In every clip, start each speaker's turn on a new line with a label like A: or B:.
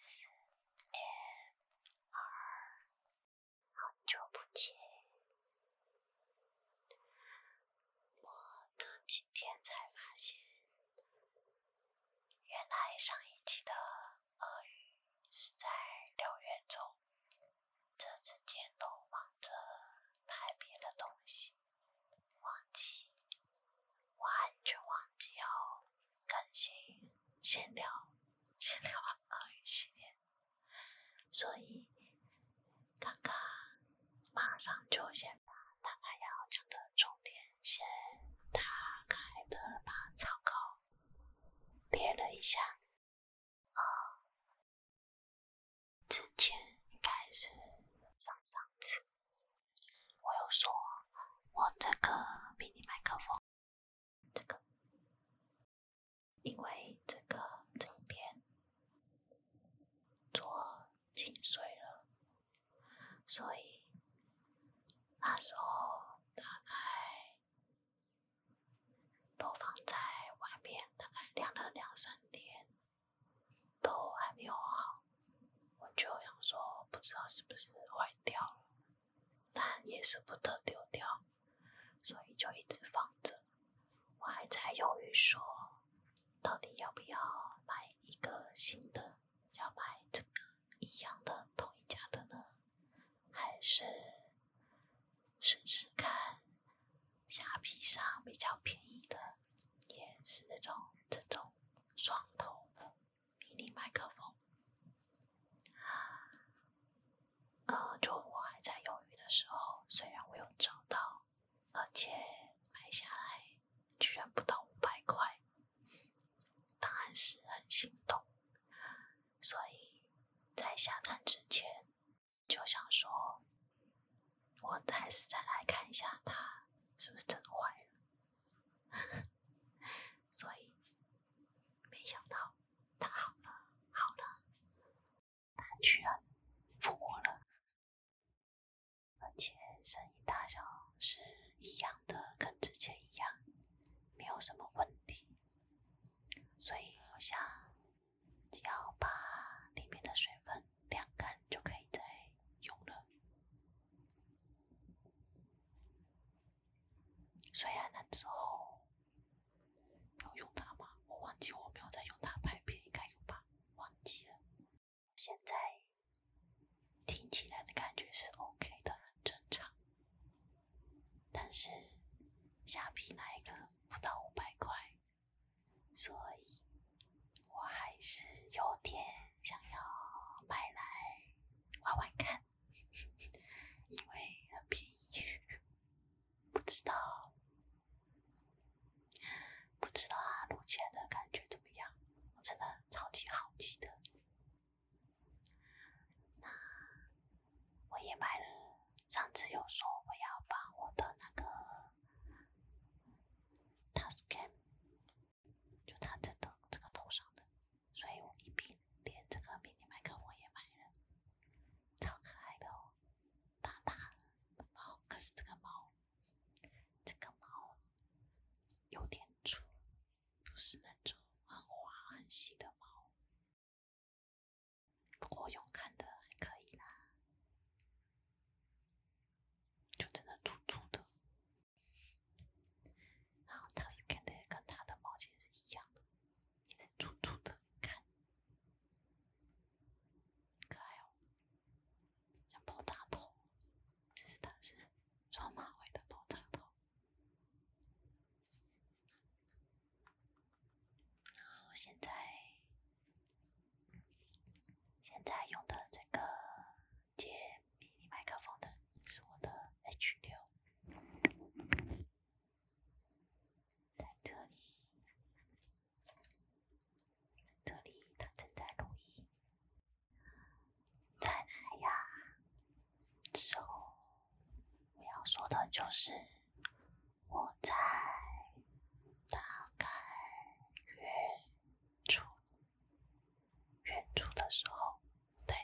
A: S M R，好久不见。我这几天才发现，原来上一期的鳄鱼是在六月中，这几天都忙着拍别的东西，忘记，完全忘记哦。更新闲聊，闲聊啊系列，所以刚刚马上就先把大概要讲的重点先打开的，把草稿列了一下。啊，之前应该是上上次，我又说我这个迷你麦克风。这个，因为这个这边做进水了，所以那时候大概都放在外面，大概晾了两三天，都还没有好，我就想说，不知道是不是坏掉了。但也舍不得丢掉，所以就一直放着。我还在犹豫，说到底要不要买一个新的？要买这个一样的同一家的呢，还是试试看虾皮上比较便宜的？也是那种这种双头的。迷你麦克风，呃，就我还在犹豫的时候，虽然我有找到，而且买下来居然不到五百块，当然是很心动。所以，在下单之前，就想说，我还是再来看一下它是不是真的坏了。所以，没想到他好了，好了，他居然复活了，而且声音大小是一样的，跟之前一样，没有什么问题。所以，好像只要把里面的水分晾干就可以再用了。虽然那之后没有用它吗？我忘记我没有在用它拍片，应该有吧？忘记了。现在听起来的感觉是 OK 的，很正常。但是下笔那一个不到五百块，所以我还是有点想要买来玩玩看。因为很便宜，不知道，不知道录起来的感觉怎么样？我真的超级好奇的。那我也买了，上次有说我要把我的那个 t a s c a 就他真的这个头上的，所以我一并连这个迷你麦克我也买了，超可爱的哦。大大的猫。可是这个猫，这个猫有点粗，不是那种很滑很细的毛。不过用看的还可以啦，就真的粗粗的。然后它是看的跟它的毛巾是一样的，也是粗粗的，看，可爱哦，像爆炸头，这是它是双马尾的爆炸头。然后现在现在用的这个。接迷你麦克风的是我的 H 六，在这里，这里它正在录音。再来呀！之后我要说的就是，我在打开月初。月初的时候，对，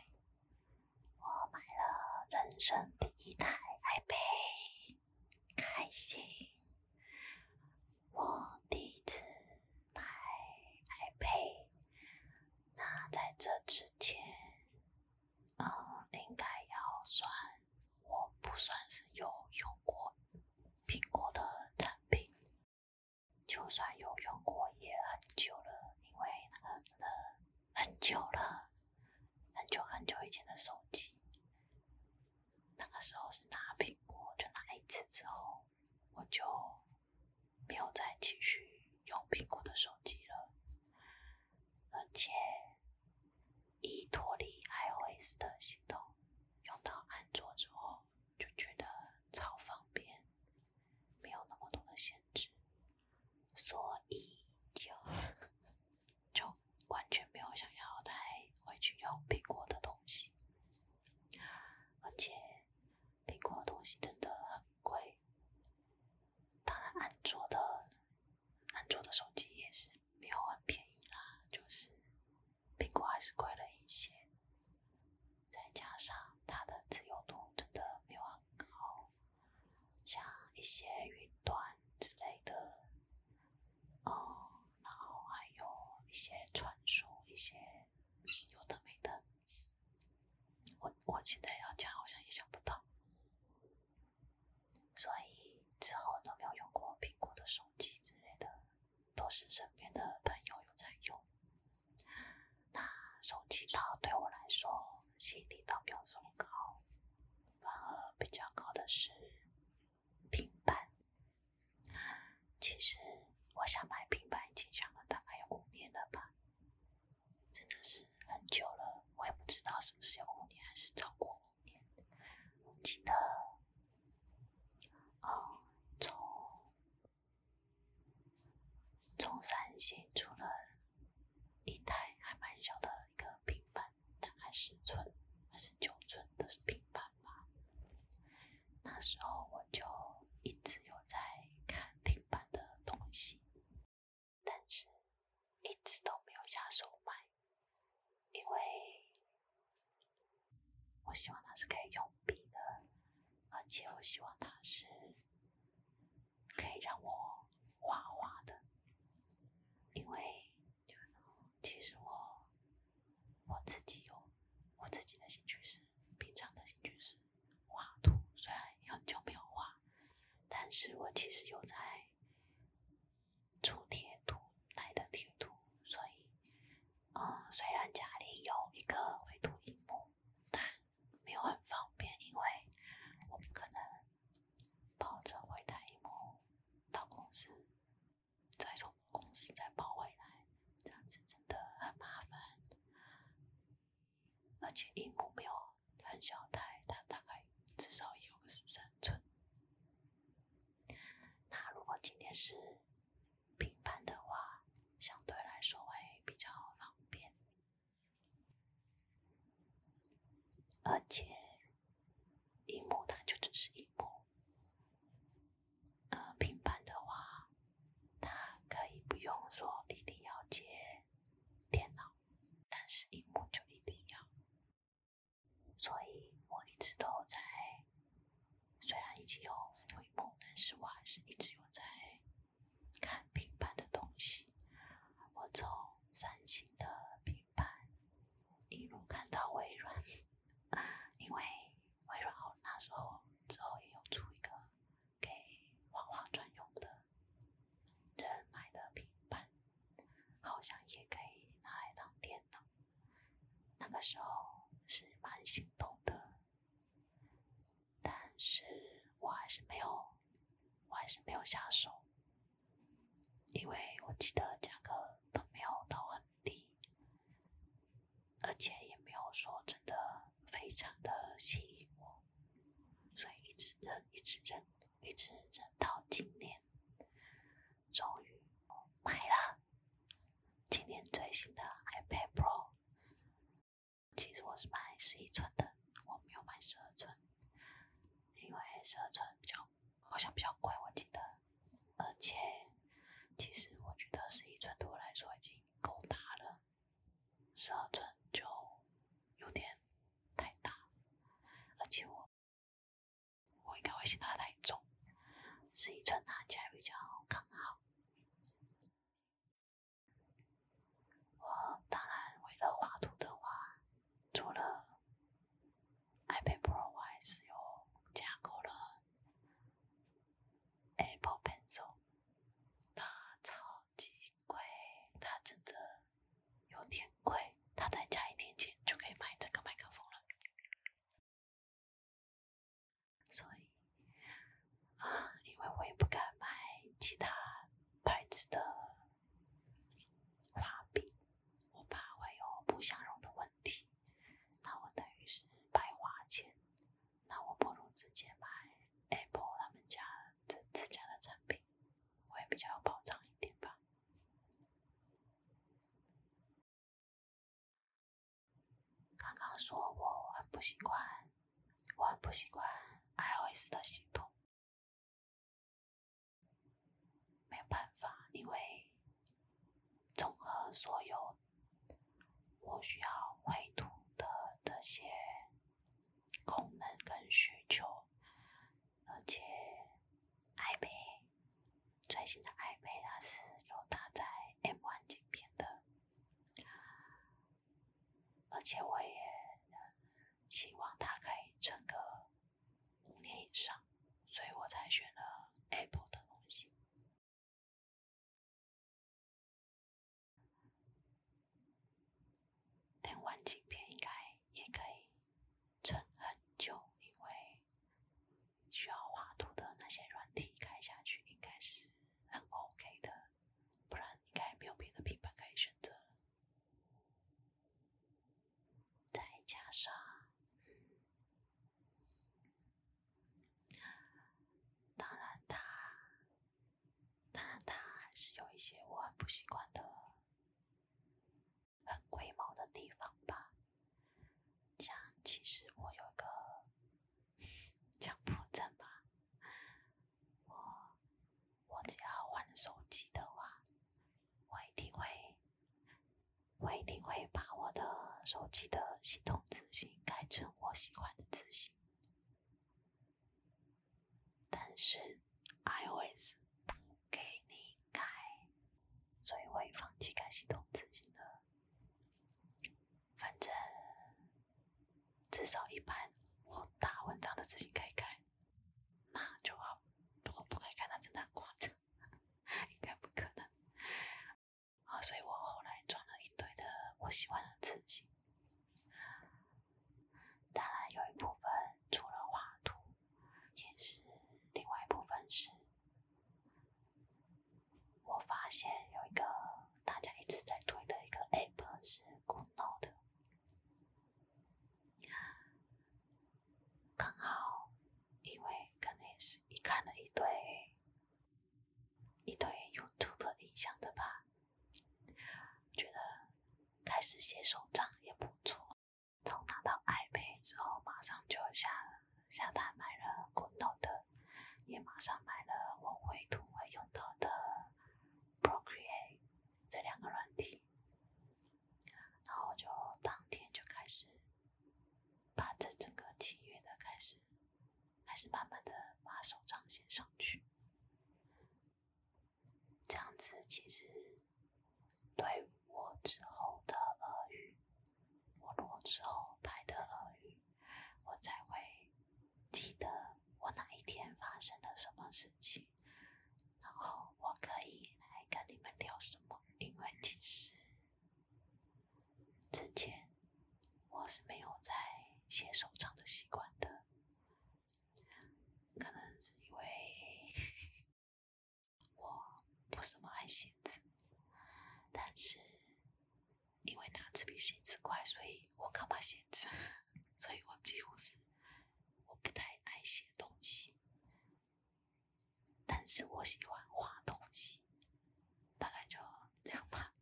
A: 我买了人生第一台 iPad，开心。我第一次买 iPad，那在这之前，嗯，应该要算我不算是有用过苹果的产品。就算有用过也很久了，因为那个真的很久了，很久很久以前的手机。那个时候是拿苹果，就拿一次之后，我就没有再继续用苹果的手机了。而且一脱离 iOS 的系统，用到安卓之后就觉得超方便。没有那么多的限制，所以就就完全没有想要再回去用苹果的东西，而且苹果的东西真的很贵。当然，安卓的安卓的手机也是没有很便宜啦，就是苹果还是贵了一些。再加上它的自由度真的没有很高，像一些云端之类的，哦，然后还有一些传输，一些有的没的，我我现在要讲好像也想不到，所以之后都没有用过苹果的手机之类的，都是身边的朋友有在用。那手机套对我来说吸引力倒没有这么高，反而比较高的是平板。其实我想买平板已经想了大概有五年了吧，真的是很久了。我也不知道是不是有五年还是超过五年，记得哦从。从三星出了一台还蛮小的一个平板，大概是寸还是九寸是平板吧。那时候我就一直有在看平板的东西，但是一直都没有下手买，因为我希望它是可以用笔的，而且我希望它是。可以让我画画的，因为其实我我自己有我自己的兴趣是平常的兴趣是画图，虽然很久没有画，但是我其实有在出贴图、来的贴图，所以嗯，虽然家里有一个绘图荧幕，但没有很方便，因为我们可能抱着回胎、一木到公司，再从公司再抱回来，这样子真的很麻烦。而且一木没有很小，胎，它大概至少有个十三寸。那如果今天是？平板的话，相对来说会比较方便，而且，荧幕它就只是一幕，呃，平板的话，它可以不用说一定要接电脑，但是荧幕就一定要。所以我一直都在，虽然已经有一幕，但是我还是一直用在。看平板的东西，我从三星的平板一路看到微软，因为微软那时候之后也有出一个给画画专用的人买的平板，好像也可以拿来当电脑，那个时候是蛮心动的。但是我还是没有，我还是没有下手，因为我记得价格都没有到很低，而且也没有说真的非常的吸引我，所以一直忍，一直忍，一直忍到今年，终于我买了今年最新的 iPad Pro。其实我是买十一寸的，我没有买十二寸，因为十二寸比较好像比较贵，我记得。而且，其实我觉得十一寸对我来说已经够大了，十二寸就有点太大，而且我我应该会嫌它太重。十一寸拿起来比较刚好。我当然为了画图的话，除了 iPad Pro，我还是有加购了 Apple Pencil。它超级贵，它真的有点贵，它再加一点钱就可以买这个麦克风了。所以啊，因为我也不敢买其他牌子的画笔，我怕会有不相容的问题。那我等于是白花钱，那我不如直接买 Apple 他们家这自家的产品，会比较有保障一点吧。刚刚说我很不习惯，我很不习惯 iOS 的系统。没有办法，因为综合所有我需要绘图的这些功能跟需求，而且 iPad 最新的 iPad 它是有搭载 M1 芯片的。而且我也希望它可以撑个五年以上，所以我才选了 Apple 的东西。连完影片应该也可以撑很久，因为需要画图的那些软体开下去应该是很 OK 的。不然应该没有别的品牌可以选择再加上，当然它，当然它还是有一些我很不习惯的、很规毛的地方吧。像其实我有一个。强迫症吧，我我只要换手机的话，我一定会我一定会把我的手机的系统自行改成我喜欢的自行。但是 iOS 不给你改，所以我也放弃改系统自型了，反正。至少一般，我打文章的字型可以看，那就好。如果不可以看，那真的挂着，应该不可能。啊，所以我后来装了一堆的我喜欢的字型，当然有一部分除了画图，也是另外一部分是。我发现有一个大家一直在推的一个 App 是 GoodNote，刚好，因为可能是一看了一堆，一堆 YouTube 影响的吧，觉得开始写手账也不错，从拿到 iPad 之后，马上就下下单买了 GoodNote。也马上买了我绘图会用到的 Procreate 这两个软体，然后就当天就开始把这整个七月的开始，开始慢慢的把手账写上去。这样子其实对我之后的俄语，我如果之后拍的俄语，我才会。记得我哪一天发生了什么事情，然后我可以来跟你们聊什么？因为其实之前我是没有在写手账的习惯的，可能是因为我不怎么爱写字，但是。因为打字比写字快，所以我干嘛写字？所以我几乎是我不太爱写东西，但是我喜欢画东西，大概就这样吧。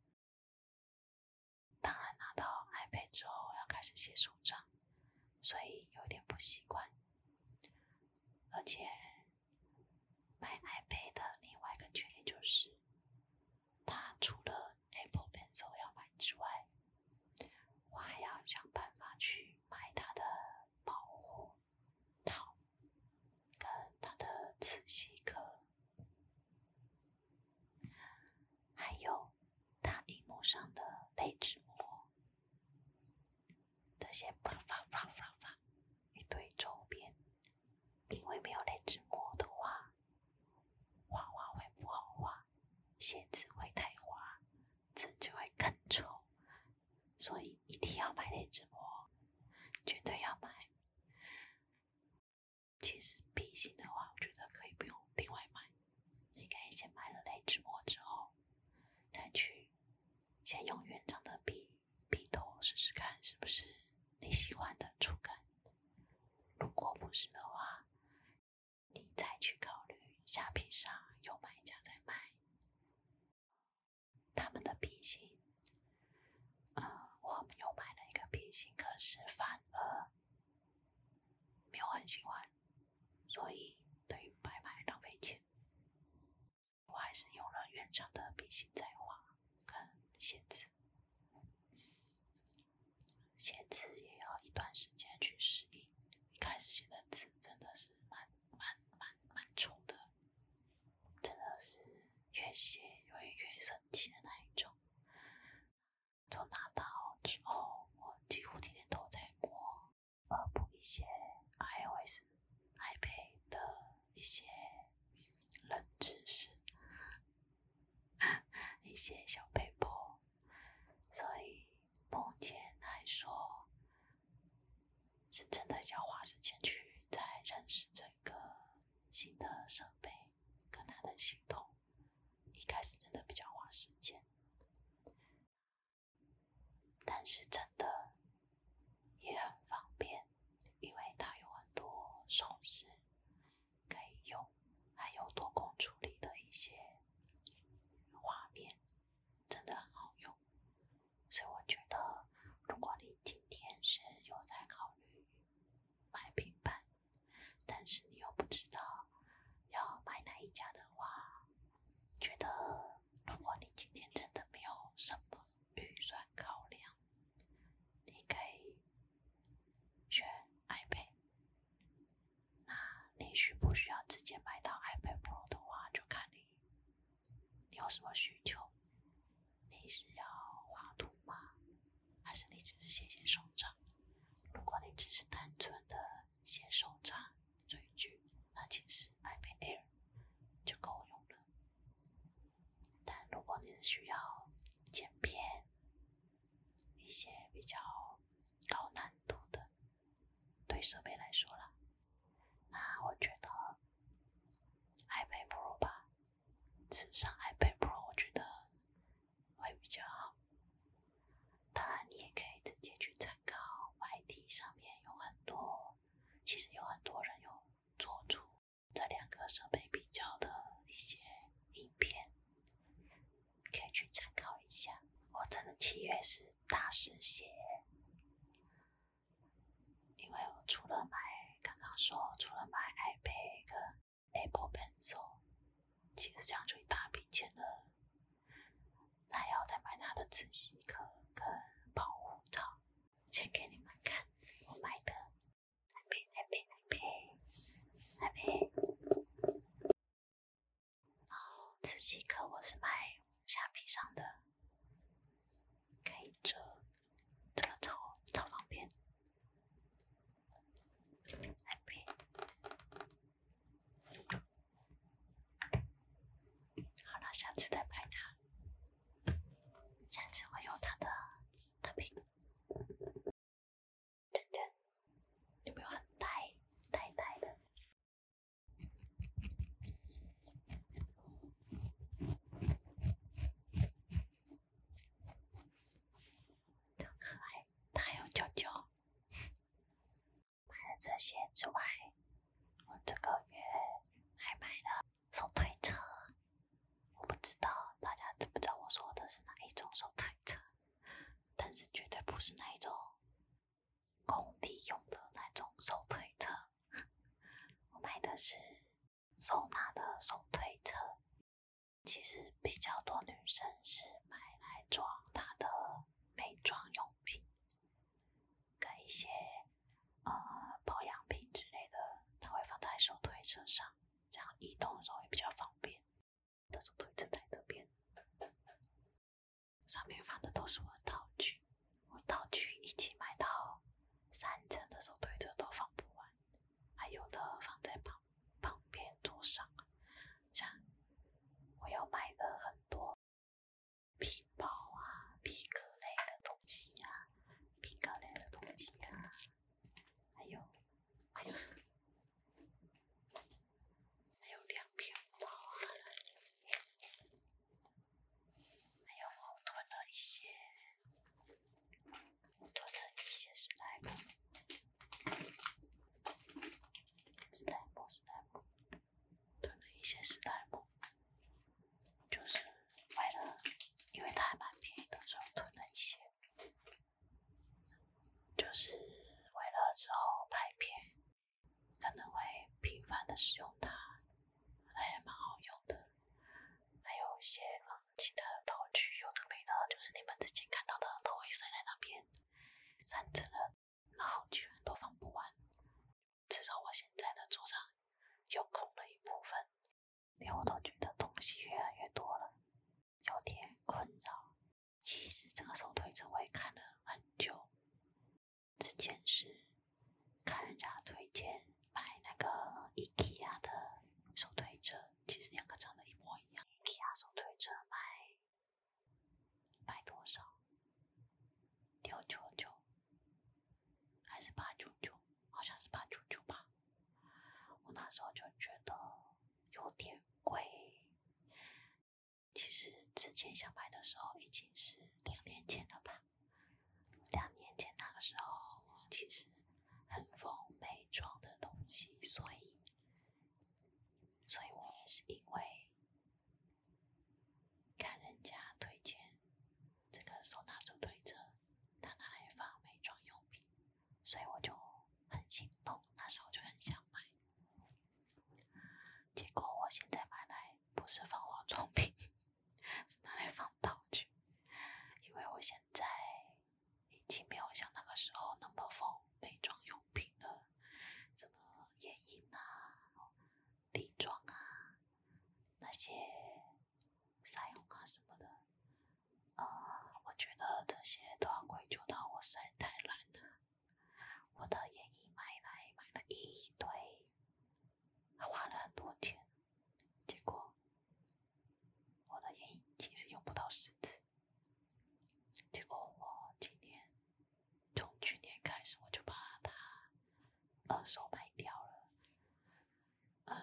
A: 当然拿到 iPad 之后要开始写手账，所以有点不习惯。而且买 iPad 另外一个缺点就是。他除了 Apple Pencil 要买之外，我还要想办法去买他的保护套、跟他的磁吸壳，还有他屏幕上的泪纸膜，这些啪啪啪啪啪，一堆周边。因为没有那只膜的话，画画会不好画，写字会太滑，字就会更丑。所以一定要买那只膜，绝对要买。其实笔芯的话，我觉得可以不用另外买，你可以先买了那只膜之后，再去先用原厂的笔。笔头试试看是不是你喜欢的触感，如果不是的话，你再去考虑下。平上有买家在卖他们的笔芯，呃，我们有买了一个笔芯，可是反而没有很喜欢，所以等于白买，浪费钱。我还是用了原厂的笔芯在画跟写字。写字也要一段时间去适应，一开始写的字真的是蛮蛮蛮蛮丑的，真的是越写越生气的那一种。从拿到之后，我几乎天天都在摸，呃，补一些 iOS、iPad 的。一些冷知识，一些小被迫，所以目前来说，是真的要花时间去再认识这个新的设备跟它的系统，一开始真的比较花时间，但是真的也很方便。因为它有很多手势可以用，还有多空处理的一些画面，真的很好用。所以我觉得，如果你今天是有在考虑买平板，但是你又不知道要买哪一家的话，觉得如果你今天真的没有什么。预算考量，你可以选 iPad。那你需不需要直接买到 iPad Pro 的话，就看你你有什么需求。你是要画图吗？还是你只是写写手账？如果你只是单纯的写手账、追剧，那其实 iPad Air 就够用了。但如果你需要剪片，一些比较高难度的，对设备来说了，那我觉得 iPad Pro 吧，至少 iPad Pro 我觉得会比较好。当然，你也可以直接去参考 YT 上面有很多，其实有很多人有做主。这两个设备比较的一些影片，可以去参考一下。我真的七月是大失血，因为我除了买刚刚说除了买 iPad 跟 Apple Pencil，其实这样就一大笔钱了，那要再买它的磁吸壳跟保护套。先给你们看我买的。然后我是买下上的，这个超超方便。好了，下次再拍它，下次我有它的。特别，真真有没有很呆呆呆的，特可爱，它还有胶胶。买了这些之外，我这个月还买了。手推车，我不知道大家知不知道我说的是哪一种手推车，但是绝对不是那一种工地用的那种手推车。我买的是收纳的手推车，其实比较多女生是买来装她的美妆用品，跟一些。呃，保养品之类的，它会放在手推车上，这样移动的时候也比较方便。的手推车在这边，上面放的都是我道具，我道具一起买到三层的手推车都放不完，还有的放在旁旁边桌上，像我有买的很多皮包啊、皮革类的东西呀。冰糕类的东西呀，还有，还有，还有两瓶，包啊，还有我囤的一些，囤的一些史莱姆，史莱姆，史莱姆，囤的一些史莱姆。就是为了，因为它还蛮便宜的，时候囤了一些。就是为了之后拍片，可能会频繁的使用它，还蛮好用的。还有一些其他的道具，有的没的，就是你们之前看到的，都塞在那边，占着了，然后全都放不完，至少我现在的桌上又空了一部分。连我都觉得东西越来越多了，有点困扰。其实这个手推车我也看了很久，之前是看人家推荐买那个 IKEA 的手推车，其实两个长得一模一样。IKEA 手推车卖卖多少？六九九还是八九九？好像是八九九吧，我那时候就觉得有点贵。其实之前想买的时候已经是两年前了吧，两年前那个时候其实很疯美妆的东西，所以，所以我也是因为看人家推荐。这个手拿手推车，他拿来放美妆用品，所以我就很心动，那时候就很想买。结果我现在买来不是放化妆品，是拿来放道具，因为我现在已经没有像那个时候那么放美妆用品了，什么眼影啊、底妆啊那些。腮红啊什么的，呃，我觉得这些都要归咎到我实在太懒了。我的眼影买来买了一堆，花了很多钱，结果我的眼影其实用不到十次，结果我今年从去年开始我就把它二手卖掉了。嗯，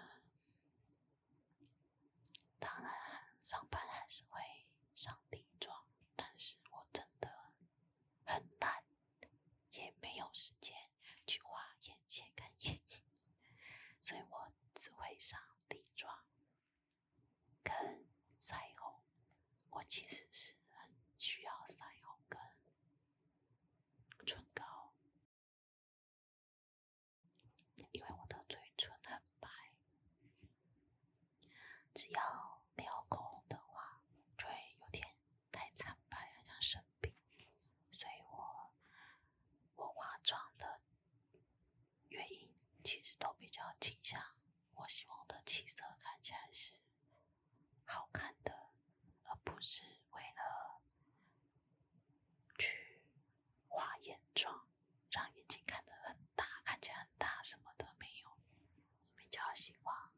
A: 当然，上班还是会上底妆，但是我真的很懒，也没有时间去画眼线跟眼影，所以我只会上底妆跟腮红。我其实是很需要腮红跟唇膏。因为我的嘴唇很白，只要没有口红的话，就会有点太惨白，好像生病。所以我我化妆的原因，其实都比较倾向我希望的气色看起来是好看的，而不是为了。去画眼妆，让眼睛看得很大，看起来很大什么都没有。我比较希望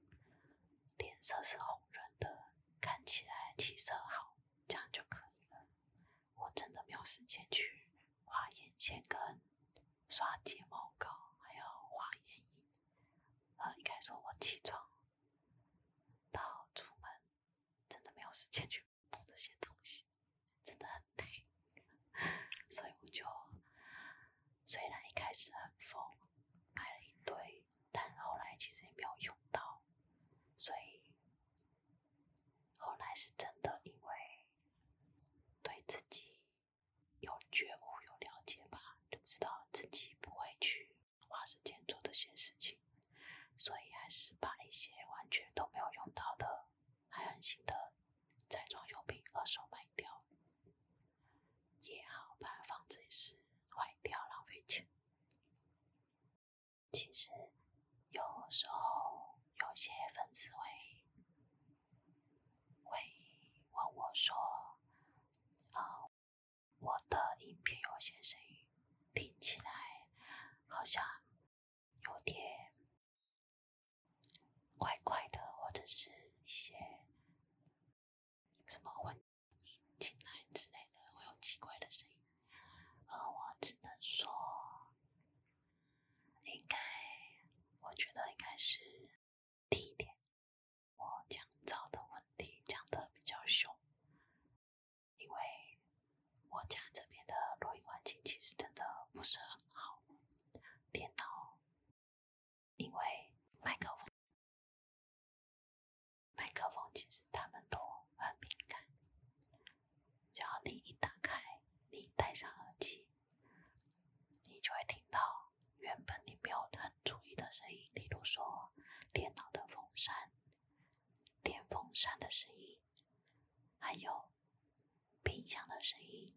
A: 脸色是红润的，看起来气色好，这样就可以了。我真的没有时间去画眼线跟刷睫毛膏，还有画眼影。呃，应该说我起床到出门。真的没有时间去弄这些东西，真的很累，所以我就虽然一开始很疯，买了一堆，但后来其实也没有用到，所以后来是真的因为对自己有觉悟、有了解吧，就知道自己不会去。花时间做这些事情，所以还是把一些完全都没有用到的，还很新的，彩妆用品二手卖掉也好，不然放着也是坏掉，浪费钱。其实有时候有些粉丝会会问我说，哦。我的音频有些声音听起来好像有点怪怪的，或者是一些什么混进来之类的，会有奇怪的声音。呃，我只能说，应该，我觉得应该是第一点，我讲的问题讲得比较凶。因为我家这边的录音环境其实真的不是很好，电脑，因为麦克风，麦克风其实他们都很敏感，只要你一打开，你戴上耳机，你就会听到原本你没有很注意的声音，例如说电脑的风扇。电风扇的声音，还有冰箱的声音，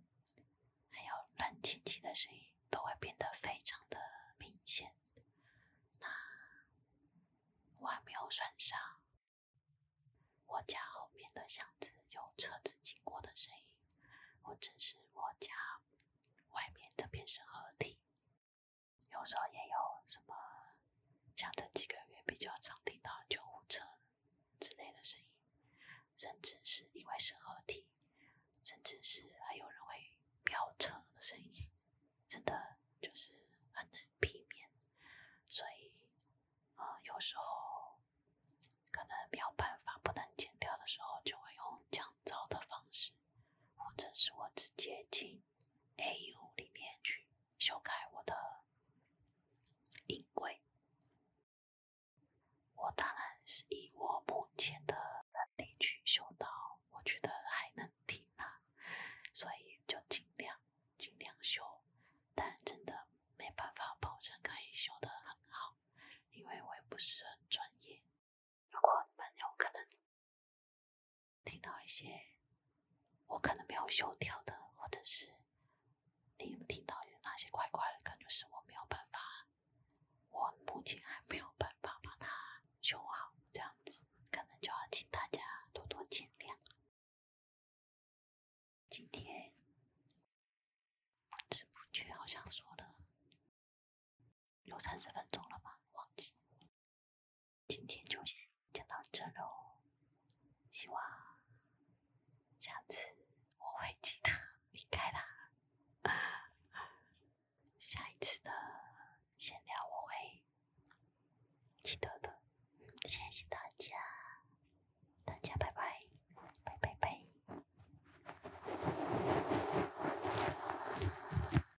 A: 还有冷气机的声音，都会变得非常的明显。那我还没有算上我家后面的巷子有车子经过的声音。我者是我家外面这边是河堤。有时候也有什么，像这几个月比较常听到救护车之类的声音，甚至是因为是合体，甚至是还有人会飙车的声音，真的就是很难避免。所以，呃，有时候可能没有办法不能剪掉的时候，就会用降噪的方式，或者是我直接进。AU 里面去修改我的音轨，我当然是以我目前的能力去修到我觉得还能听啦，所以就尽量尽量修，但真的没办法保证可以修得很好，因为我也不是很专业。如果你们有可能听到一些我可能没有修掉的，或者是你们听到有哪些怪怪的感觉，是我没有办法，我目前还没有办法把它修好，这样子，可能就要请大家多多见谅。今天不知不觉好像说了。有三十分钟了吧？忘记，今天就先讲到这喽。希望下次我会记得离开啦。下一次的闲聊我会记得的。谢谢大家，大家拜拜，拜拜拜。